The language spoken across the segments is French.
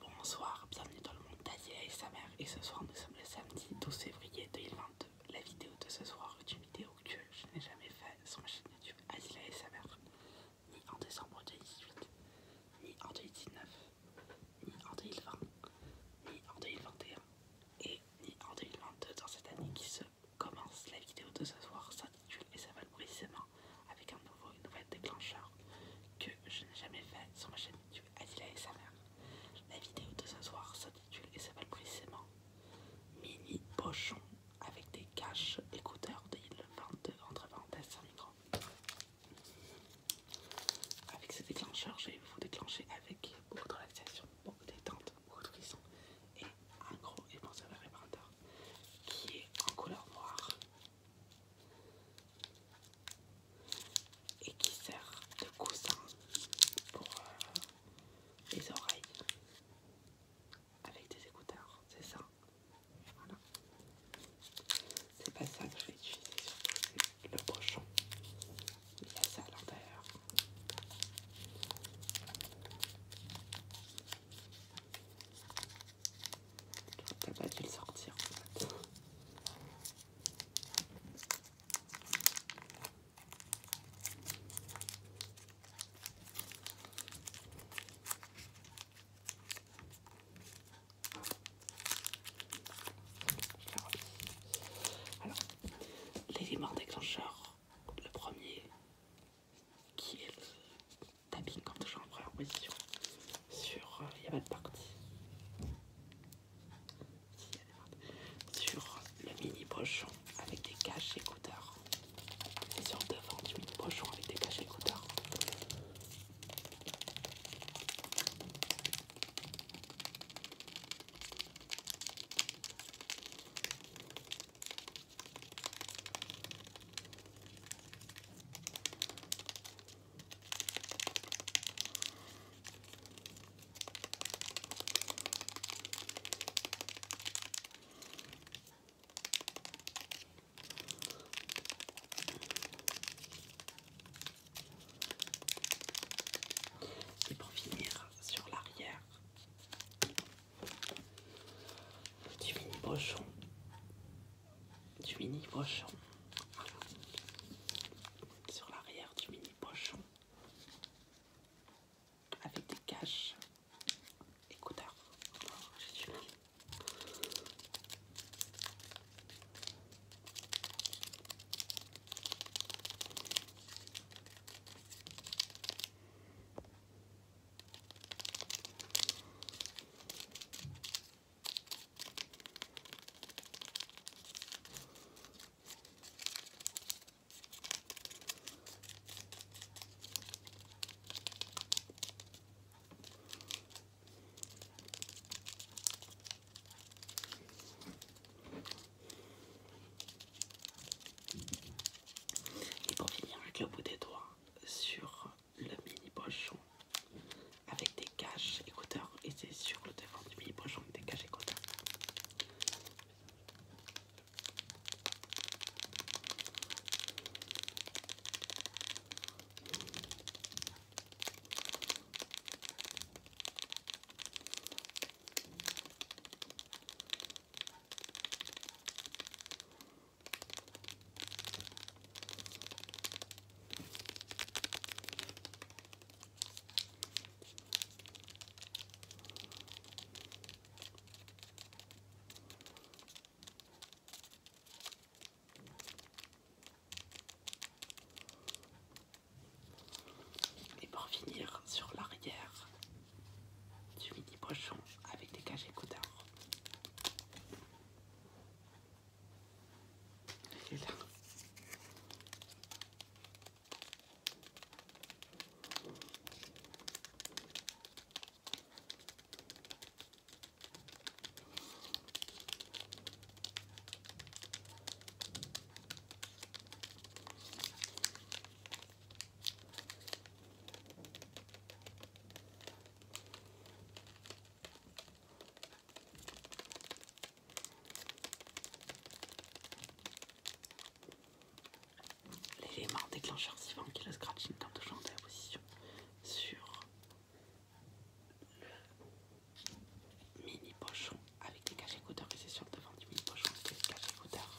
Bonsoir, bienvenue dans le monde d'Asile et sa mère et ce soir nous sommes le samedi 12 février 2022. La vidéo de ce soir est une vidéo que je n'ai jamais faite sur ma chaîne YouTube Adila et sa mère, ni en décembre 2018, ni en 2019, ni en 2020, ni en 2021 et ni en 2022 dans cette année qui se commence. La vidéo de ce soir s'intitule et s'appelle précisément avec un nouveau, déclencheur que je n'ai jamais fait sur ma chaîne YouTube Adila et sa mère. La vidéo de ce soir s'intitule et s'appelle précisément Mini Pochon avec des caches écouteurs de 22 entre parenthèses sans micro. Avec ce déclencheur je vais vous déclencher avec beaucoup de relaxation, beaucoup de détente, beaucoup de frisson et un gros épanceur réparateur qui est en couleur noire et qui sert de coussin pour euh, les oreilles avec des écouteurs, c'est ça. Voilà. C'est pas ça que je vais utiliser, surtout le pochon. Il y a ça à l'intérieur. T'as pas dû le sortir en fait. Alors, l'élément déclencheur, le premier, qui est le tabbing comme toujours en première position sur euh, il a pas de partie sur le mini pochon avec des caches écouteurs et sur devant du mini pochon avec des caches écouteurs et pour finir sur l'arrière, du mini pochon du mini pochon sur l'arrière du mini pochon avec des caches, écouteurs, et pour finir avec le bout des doigts, sur le mini pochon avec des caches écouteurs et c'est sur le devant du mini pochon des caches écouteurs et pour finir sur l'arrière, du dis pochon avec des cages écouteurs. L'élément déclencheur suivant qui est le scratching dans de la position sur le mini pochon avec des caches écouteurs et c'est sur le devant du mini pochon avec des caches écouteurs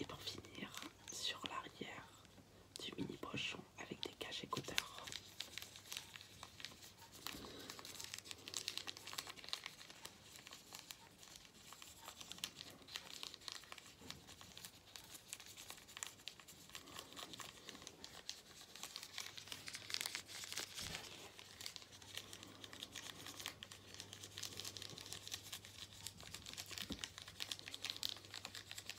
Et pour finir, sur l'arrière du mini pochon, avec des caches écouteurs.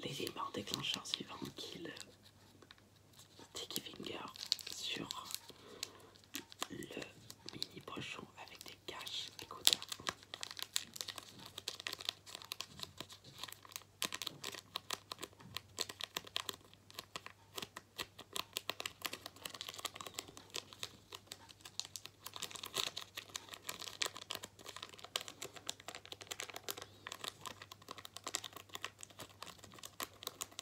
Les déclencheur suivant qu'il est finger sur le mini pochon avec des caches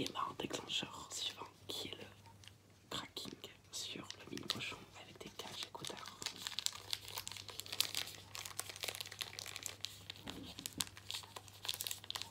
Élément déclencheur suivant qui est le cracking sur le mini cochon avec des cages écouteurs.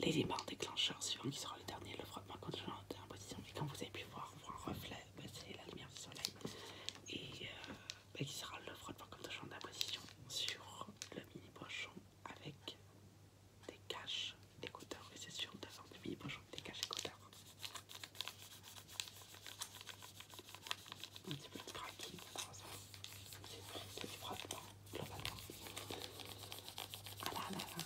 Les L'élément déclencheur suivant qui sera le dernier le frottement contre-champ d'imposition. Et comme vous avez pu voir, on voit un reflet, ben, c'est la lumière du soleil. Et euh, ben, qui sera le frottement contre-champ d'imposition sur le mini pochon avec des caches écouteurs, Et c'est sur devant le mini pochon avec des caches écouteurs. Un petit peu de cracking, c'est du frottement globalement. Ah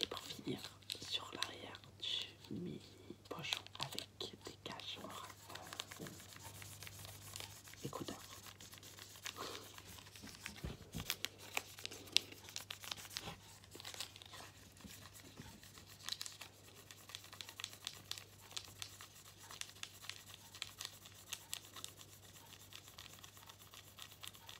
Et pour finir, sur l'arrière du mi pochon avec des caches et écouteurs.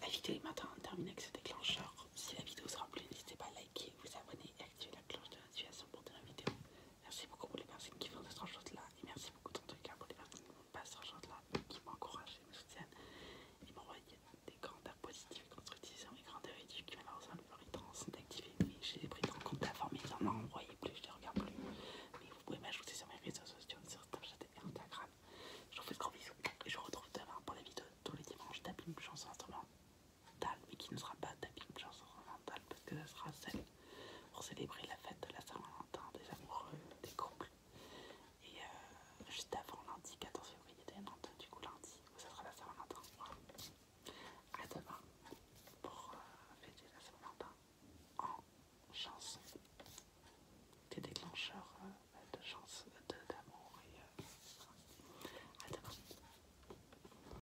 La vidéo est maintenant terminée avec ce déclencheur. Si la vidéo vous a plu, n'hésitez pas à liker, vous abonner et activer la cloche de notification pour de la vidéo. Merci beaucoup pour les personnes qui font de choses là et merci beaucoup dans tous les cas pour les personnes qui ne font pas de ce choses là mais qui m'encouragent et me soutiennent et m'envoient des commentaires positifs et constructifs sur mes grandeurs et qui malheureusement le plus temps d'activer mais j'ai pris de compte la forme, ils en m'ont envoyé plus, je les regarde plus mais vous pouvez m'ajouter sur mes réseaux sociaux, sur Snapchat et Instagram je vous fais de gros bisous et je vous retrouve demain pour la vidéo tous les dimanches une Chanson Instrument mais qui ne sera pas ta Bible chanson mentale parce que ça sera celle pour célébrer la fête de la Saint-Valentin, des amoureux, des couples. Et euh, juste avant lundi 14 février, du coup lundi, ça sera la Saint-Valentin. À demain pour euh, fêter la Saint-Valentin en chanson. Des déclencheurs euh, de chance, d'amour de, et à demain.